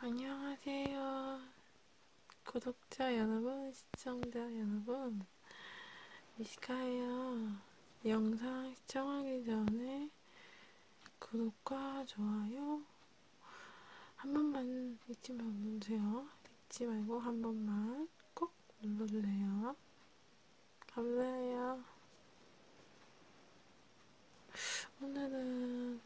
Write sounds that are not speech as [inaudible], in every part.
안녕하세요. 구독자 여러분, 시청자 여러분, 미시카예요. 영상 시청하기 전에 구독과 좋아요, 한 번만 잊지 말고주세요 잊지 말고 한 번만 꼭 눌러주세요. 감사해요. 오늘은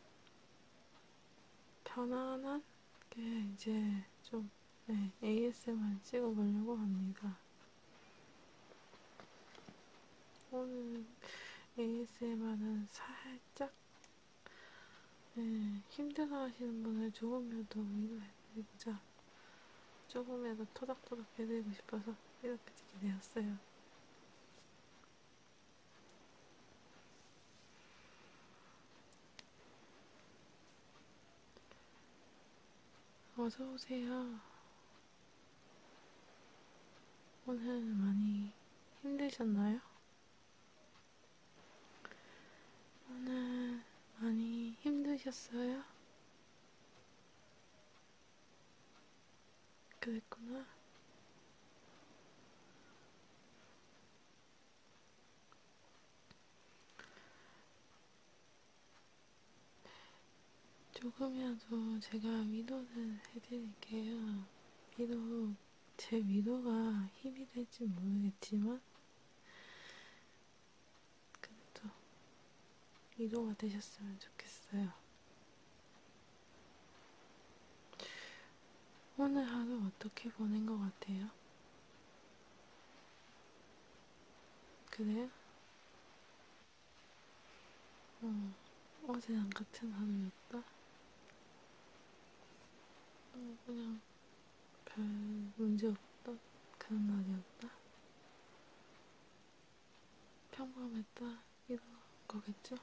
편안한 게 이제 좀 네, ASMR 찍어보려고 합니다. 오늘 ASMR은 살짝 네, 힘들어 하시는 분을 조금이라도 위로해드리고 조금이라도 토닥토닥 해드리고 싶어서 이렇게 찍게 되었어요. 어서오세요. 오늘 많이 힘드셨나요? 오늘 많이 힘드셨어요? 그랬구나. 조금이라도 제가 위로를 해드릴게요. 위로 제 위로가 힘이 될지 모르겠지만, 그래도 위로가 되셨으면 좋겠어요. 오늘 하루 어떻게 보낸 것 같아요? 그래요? 어, 어제랑 같은 하루였다? 그냥 별 문제 없던 그런 날이었다. 평범했다 이런 거겠죠?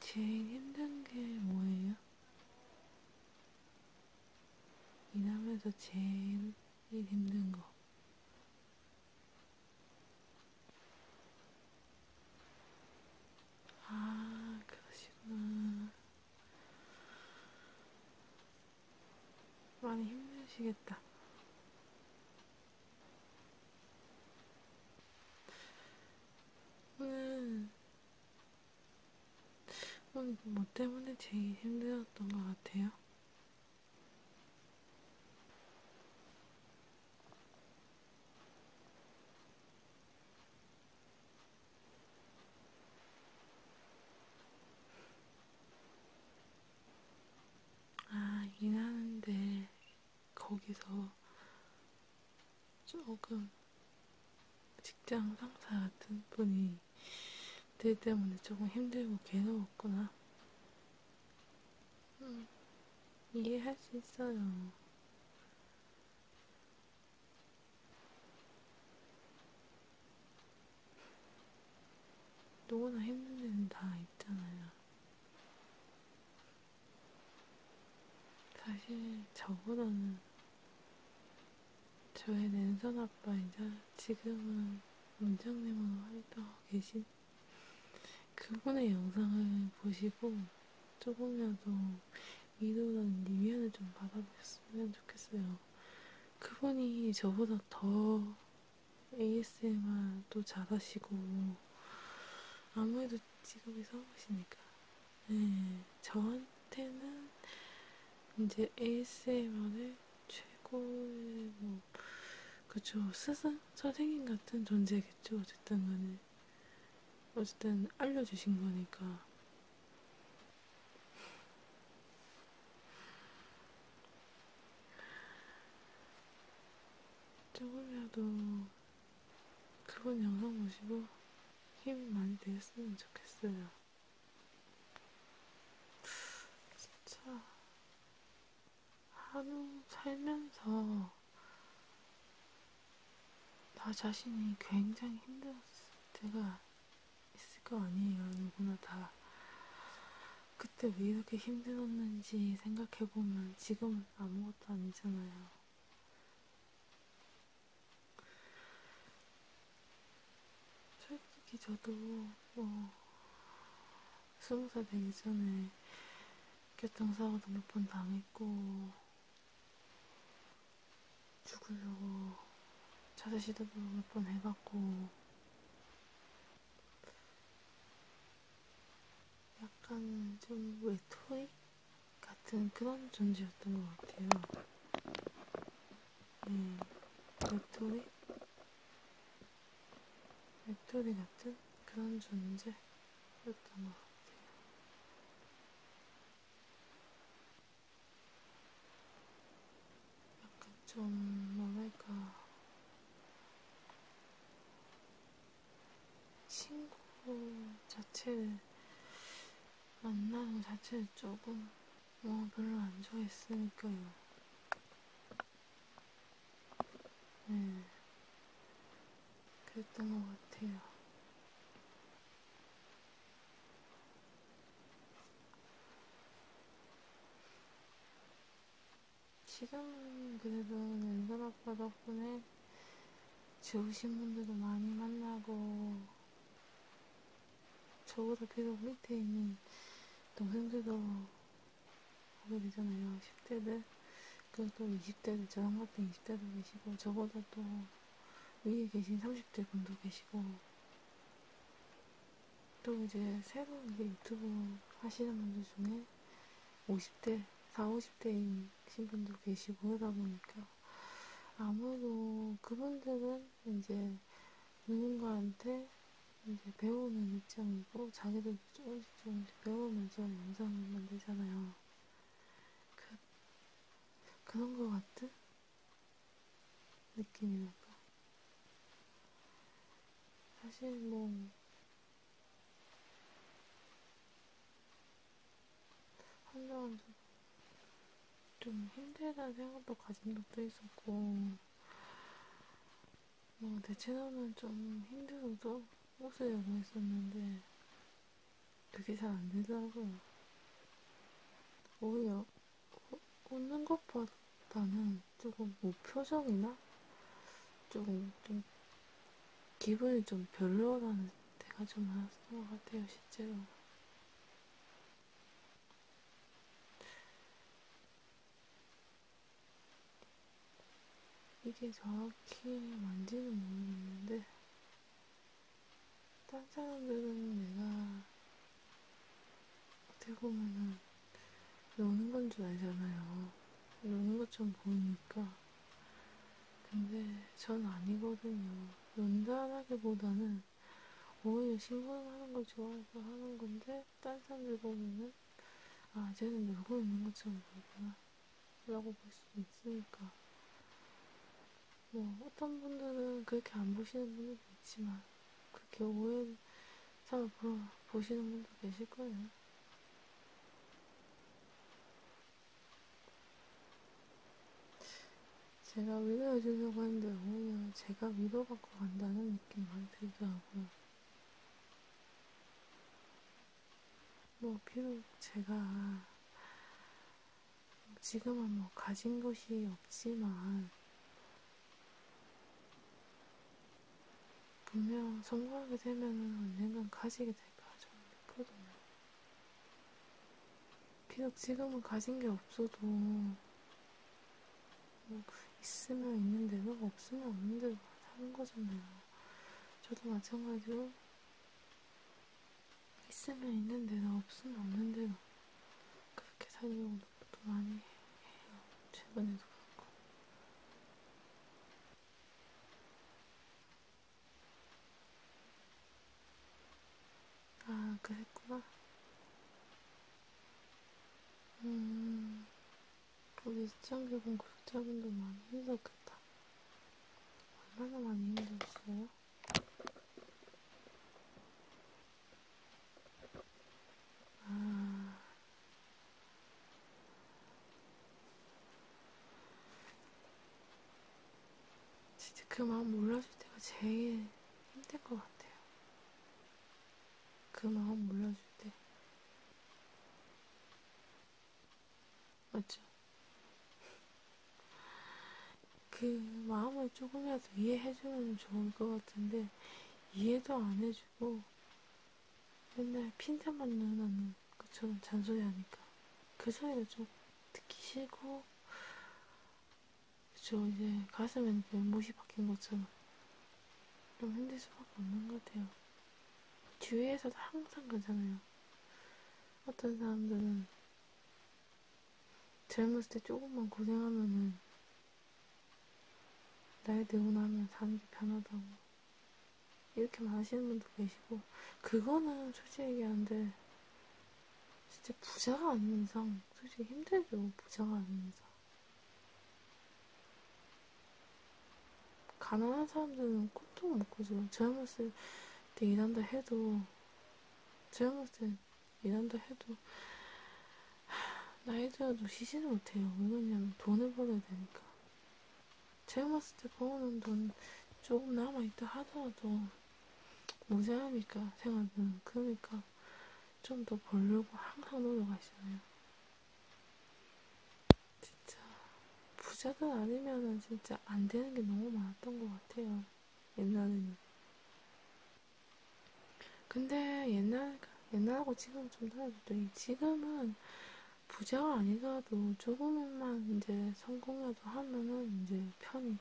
제일 힘든 게 뭐예요? 일하면서 제일 힘든 거. 아, 그러시구나. 많이 힘드시겠다. 오늘, 음. 오늘 음, 뭐 때문에 제일 힘들었던 것 같아요? 아, 이긴 하는데, 거기서 조금 직장 상사 같은 분이 들 때문에 조금 힘들고 괴로웠구나. 음, 이해할 수 있어요. 누구나 힘든 데는 다 있잖아요. 사실 저보다는 저의 랜선 아빠이자 지금은 원장님으로 활동하고 계신 그분의 영상을 보시고 조금이라도 위로라든지 위안을 좀 받아보셨으면 좋겠어요. 그분이 저보다 더 ASMR도 잘하시고 아무래도 직업이 성우시니까 네, 저한테는 이제 ASMR을 최고의 뭐 그쵸 스승 선생님 같은 존재겠죠 어쨌든 간에 어쨌든 알려주신 거니까 조금이라도 그분 영상 보시고 힘 많이 되셨으면 좋겠어요. 진짜 하루 살면서 나 자신이 굉장히 힘들었을 때가 있을 거 아니에요. 누구나 다. 그때 왜 이렇게 힘들었는지 생각해보면 지금은 아무것도 아니잖아요. 솔직히 저도 뭐 스무 살 되기 전에 교통사고도 몇 번 당했고 죽으려고 자세 시도도 몇 번 해봤고 약간 좀 외톨이 같은 그런 존재였던 것 같아요. 음, 예, 외톨이? 웹돌이 같은 그런 존재였던 것 같아요. 약간 좀 뭐랄까 친구 자체를 만나는 자체를 조금 뭐 별로 안 좋아했으니까요. 네, 그랬던 것 같아요. 지금은 그래도 은근 아빠 덕분에 좋으신 분들도 많이 만나고, 저보다 계속 밑에 있는 동생들도 하게 되잖아요. 10대들, 그리고 20대들, 저랑 같은 20대도 계시고, 저보다 또 위에 계신 30대 분도 계시고, 또 이제 새로 이제 유튜브 하시는 분들 중에 50대, 40, 50대이신 분도 계시고 그러다 보니까 아무래도 그분들은 이제 누군가한테 이제 배우는 입장이고 자기들도 조금씩 조금씩 배우면서 영상을 만들잖아요. 그, 그런 것 같은 느낌이랄까. 사실 뭐, 한동안 좀, 좀 힘들다는 생각도 가진 적도 있었고, 뭐, 어, 내 채널은 좀 힘들어도 웃으려고 했었는데, 그게 잘 안 되더라고. 오히려, 어, 웃는 것보다는 조금 뭐 표정이나, 조금 좀, 기분이 좀 별로라는 때가 좀 많았던 것 같아요, 실제로. 이게 정확히 맞는지는 모르겠는데, 딴 사람들은 내가 어떻게 보면은 노는 건 줄 알잖아요. 노는 것처럼 보이니까. 근데 전 아니거든요. 논다라기보다는 오히려 심부름하는 걸 좋아해서 하는 건데 딴 사람들 보면은 아 쟤는 놀고 있는 것처럼 보이구나 라고 볼 수도 있으니까 뭐 어떤 분들은 그렇게 안 보시는 분들도 있지만 그렇게 오해를 잘 보시는 분도 계실 거예요. 제가 위로해주려고 했는데 오히려 제가 위로받고 간다는 느낌 많이 들더라고요. 뭐, 비록 제가 지금은 뭐 가진 것이 없지만, 분명 성공하게 되면은 언젠간 가지게 될까, 저는 믿거든요. 비록 지금은 가진 게 없어도, 뭐 있으면 있는 대로, 없으면 없는 대로 사는 거잖아요. 저도 마찬가지로 있으면 있는 대로, 없으면 없는 대로 그렇게 살려고 노력도 많이 해요. 최근에도 그렇고. 아, 그랬구나. 음, 우리 시청자분 구독자분들 많이 힘들었겠다. 얼마나 많이 힘들었어요? 아... 진짜 그 마음 몰라줄 때가 제일 힘들 것 같아요. 그 마음 몰라줄 때. 맞죠? [laughs] 그 마음을 조금이라도 이해해주면 좋을 것 같은데, 이해도 안 해주고, 맨날 핀잔만 누나는 그처럼 잔소리 하니까. 그 소리가 좀 듣기 싫고, 그쵸, 이제 가슴에는 못이 그 박힌 것처럼. 힘들 수밖에 없는 것 같아요. 주위에서도 항상 그러잖아요. 어떤 사람들은 젊었을 때 조금만 고생하면은 나이 들고 나면 사는 게 편하다고 이렇게 말하시는 분도 계시고 그거는 솔직히 얘기하는데 진짜 부자가 아닌 이상 솔직히 힘들죠 부자가 아닌 이상 가난한 사람들은 꿈도 못 꾸죠. 제가 봤을 때 일한다 해도, 제가 봤을 때 일한다 해도, 나이 들어도 쉬지는 못해요. 왜냐면 돈을 벌어야 되니까. 제가 봤을 때 버는 돈 조금 남아있다 하더라도 모자라니까 생활비는 그러니까 좀더 벌려고 항상 노력하시네요. 진짜 부자가 아니면은 진짜 안 되는 게 너무 많았던 것 같아요. 옛날에는. 근데 옛날, 옛날하고 지금 좀 다르죠. 지금은 부자가 아니더라도 조금만 이제 성공이라도 하면은 이제 편히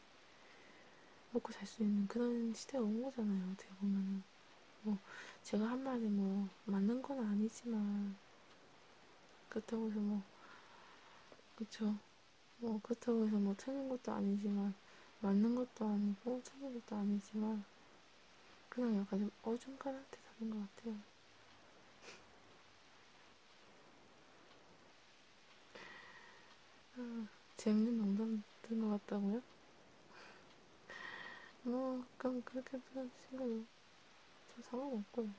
먹고 살 수 있는 그런 시대가 온 거잖아요. 어떻게 보면은. 뭐 제가 한 말이 뭐 맞는 건 아니지만 그렇다고 해서 뭐 그쵸 뭐 그렇다고 해서 뭐 틀린 것도 아니지만 맞는 것도 아니고 틀린 것도 아니지만 그냥 약간 좀 어중간한 대답인 것 같아요. 아, 재밌는 농담 든것 같다고요? 뭐 그럼 그렇게 불러주시고 뭐. 저 상관없고요.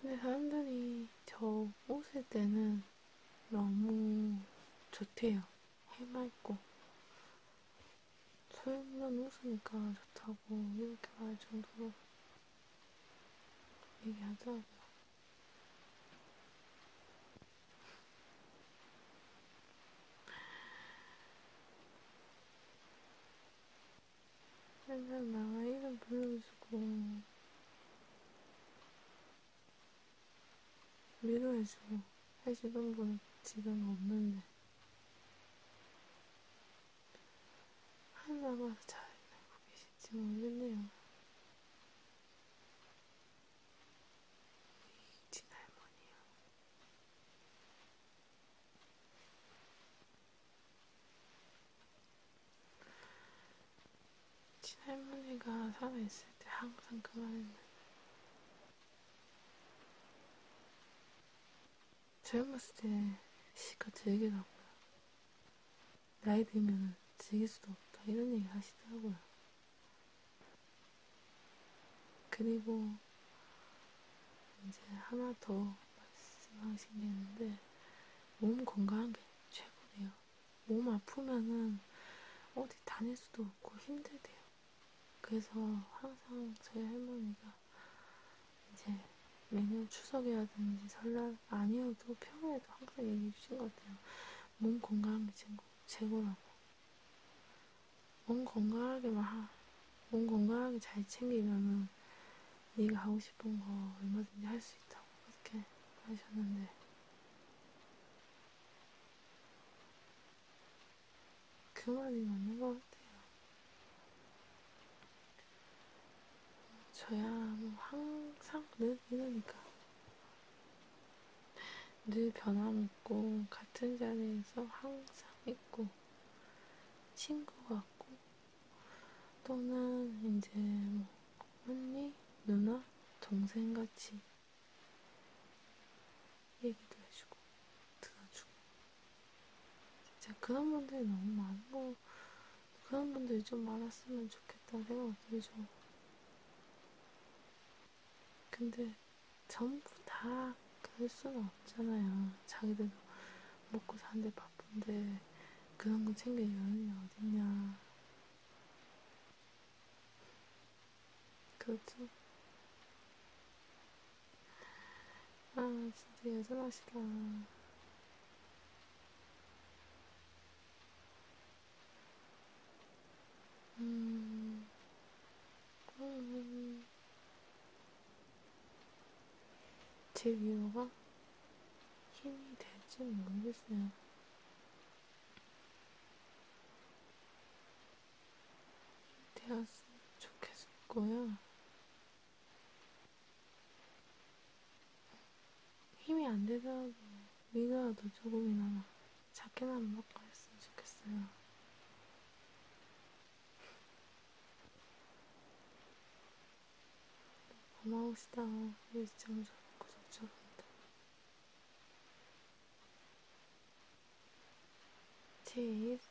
근데 사람들이 저 웃을 때는 너무 좋대요. 해맑고. 소연만 웃으니까 좋다고 이렇게 말 정도로 얘기하더라고요. 항상 나와 이름 불러주고 위로해주고 해주는 분 지금 없는데 하나 와서 잘있는 거기 계실지 모르겠네요. 친할머니요. 친할머니가 살아있을 때 항상 그만했는데 젊었을 때 시가 되게 나고요. 나이 들면 즐길 수도 없다 이런 얘기 하시더라고요. 그리고 이제 하나 더 말씀하신 게 있는데 몸 건강한 게 최고래요. 몸 아프면은 어디 다닐 수도 없고 힘들대요. 그래서 항상 저희 할머니가 이제 매년 추석이라든지 설날 아니어도 평일에도 항상 얘기해 주신 것 같아요. 몸 건강한 게 최고라고. 몸 건강하게만, 하, 몸 건강하게 잘 챙기면은 네가 하고 싶은 거 얼마든지 할 수 있다고 그렇게 하셨는데. 그 말이 맞는 것 같아요. 저야 뭐 항상 늘 이러니까 늘 변함없고 같은 자리에서 항상 있고 친구 같고 또는 이제 뭐 언니, 누나, 동생같이 얘기도 해주고 들어주고 진짜 그런 분들이 너무 많은 것 그런 분들이 좀 많았으면 좋겠다는 생각이 들죠. 근데 전부 다 그럴 수는 없잖아요. 자기들도 먹고 사는데 바쁜데 그런 거 챙길 여유이 어딨냐. 그렇죠? 아, 진짜 여전하시다. 음. 음. 제 위로가 힘이 될지 모르겠어요. 되었으면 좋겠고요. 힘이 안 되더라도 미그라도 조금이나마 작게나마 먹고 했으면 좋겠어요. 고마우시다. 우리 시청자 구독자분들. j s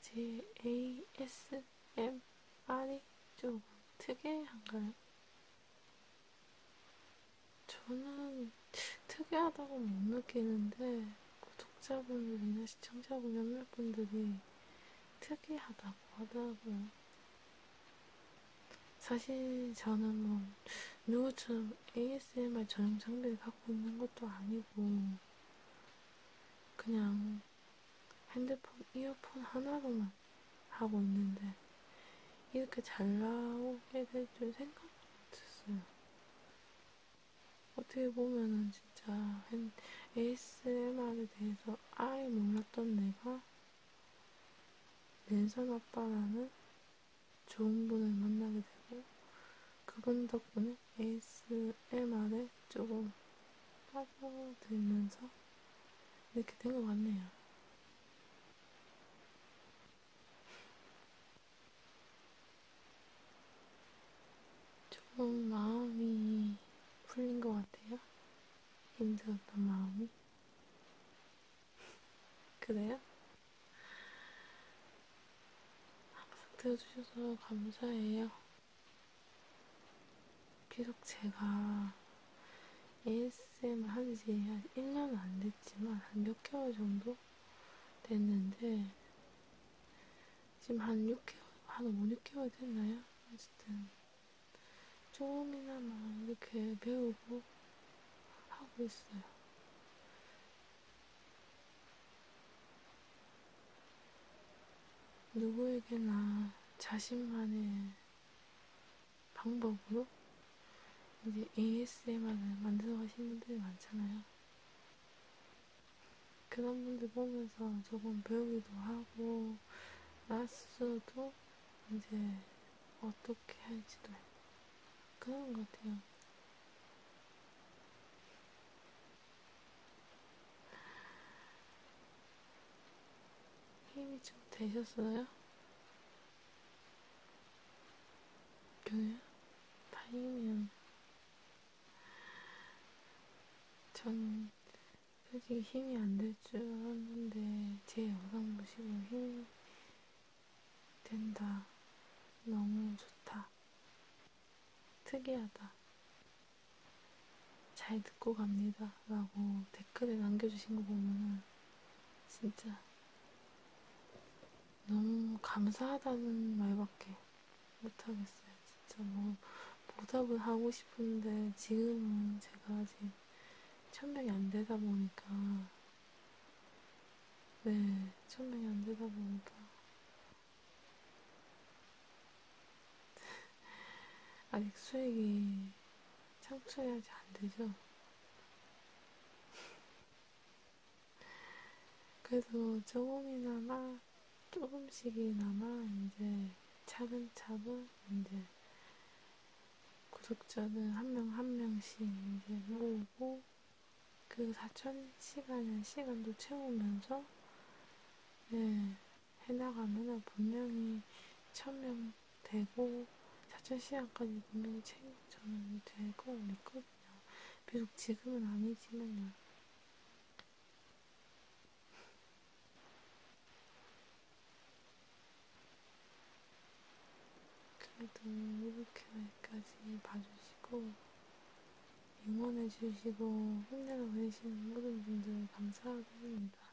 j a s ASMR이 좀 특이한가요? 저는 특이하다고 못 느끼는데 구독자분들이나 시청자분 몇몇 분들이 특이하다고 하더라고요. 사실 저는 뭐 누구처럼 ASMR 전용 장비를 갖고 있는 것도 아니고 그냥 핸드폰 이어폰 하나로만 하고 있는데 이렇게 잘 나오게 될 줄 생각 못했어요. 어떻게 보면은 진짜 ASMR에 대해서 아예 몰랐던 내가 랜선 아빠라는 좋은 분을 만나게 되고 그분 덕분에 ASMR에 조금 빠져들면서 이렇게 된 것 같네요. 좀 마음이 풀린 것 같아요. 힘들었던 마음이. [laughs] 그래요? 항상 들어주셔서 감사해요. 계속 제가 ASM을 한지 한 1년은 안 됐지만 한 몇 개월 정도 됐는데 지금 한 6개월, 한 5, 6개월 됐나요? 어쨌든 조금이나마 이렇게 배우고 하고 있어요. 누구에게나 자신만의 방법으로 이제 ASMR을 만들어 가신 분들이 많잖아요. 그런 분들 보면서 조금 배우기도 하고, 나 스스로도 이제 어떻게 할지도 그런 것 같아요. 힘이 좀 되셨어요? 그래? 다행이면 전 솔직히 힘이 안 될 줄 알았는데 제 영상 보시고 힘이 된다. 너무 좋다. 특이하다. 잘 듣고 갑니다. 라고 댓글에 남겨주신 거 보면은 진짜 너무 감사하다는 말밖에 못하겠어요. 진짜 뭐 보답을 하고 싶은데 지금은 제가 아직 천명이 안 되다 보니까 네, 천명이 안 되다 보니까 아직 수익이 창출해야지 안 되죠? 그래도 조금이나마, 조금씩이나마 이제 차근차근 이제 구독자는 한 명한 한 명씩 이제 모으고 그 4천 시간의 시간도 채우면서 예, 해나가면 분명히 천명 되고 사천 시간까지 분명히 챙 저는 될거 믿거든요. 비록 지금은 아니지만요. 그래도 이렇게까지 봐주시고 응원해주시고 혼내고 계시는 모든 분들 감사하게 합니다.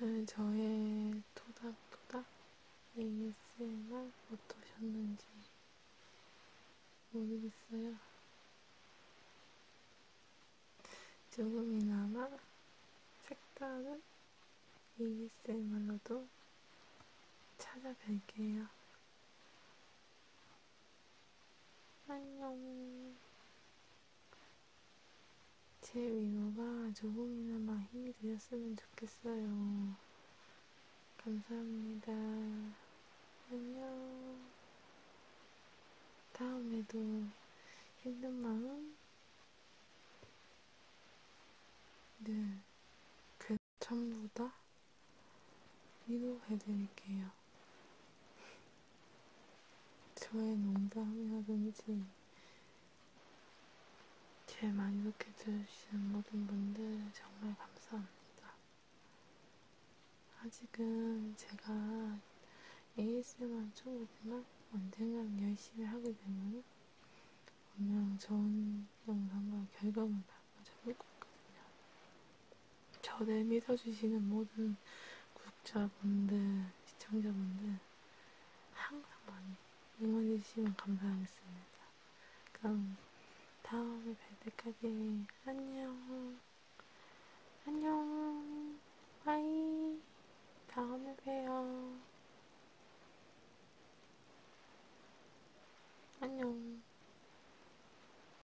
오늘 네, 저의 토닥토닥 ASMR 어떠셨는지 모르겠어요. 조금이나마 색다른 ASMR로도 찾아뵐게요. 안녕. 제 위로가 조금이나마 힘이 되셨으면 좋겠어요. 감사합니다. 안녕. 다음에도 힘든 마음 늘 괜찮보다 그 위로해드릴게요. [laughs] 저의 농담이라든지, 제일 많이 이렇게 들으시는 모든 분들 정말 감사합니다. 아직은 제가 ASMR 초보지만 언젠간 열심히 하게 되면 분명 좋은 영상과 결과물을 가져올 거거든요. 저를 믿어주시는 모든 구독자분들, 시청자분들 항상 많이 응원해주시면 감사하겠습니다. 그럼 다음에 뵐 때까지 안녕 안녕 바이 다음에 봬요 안녕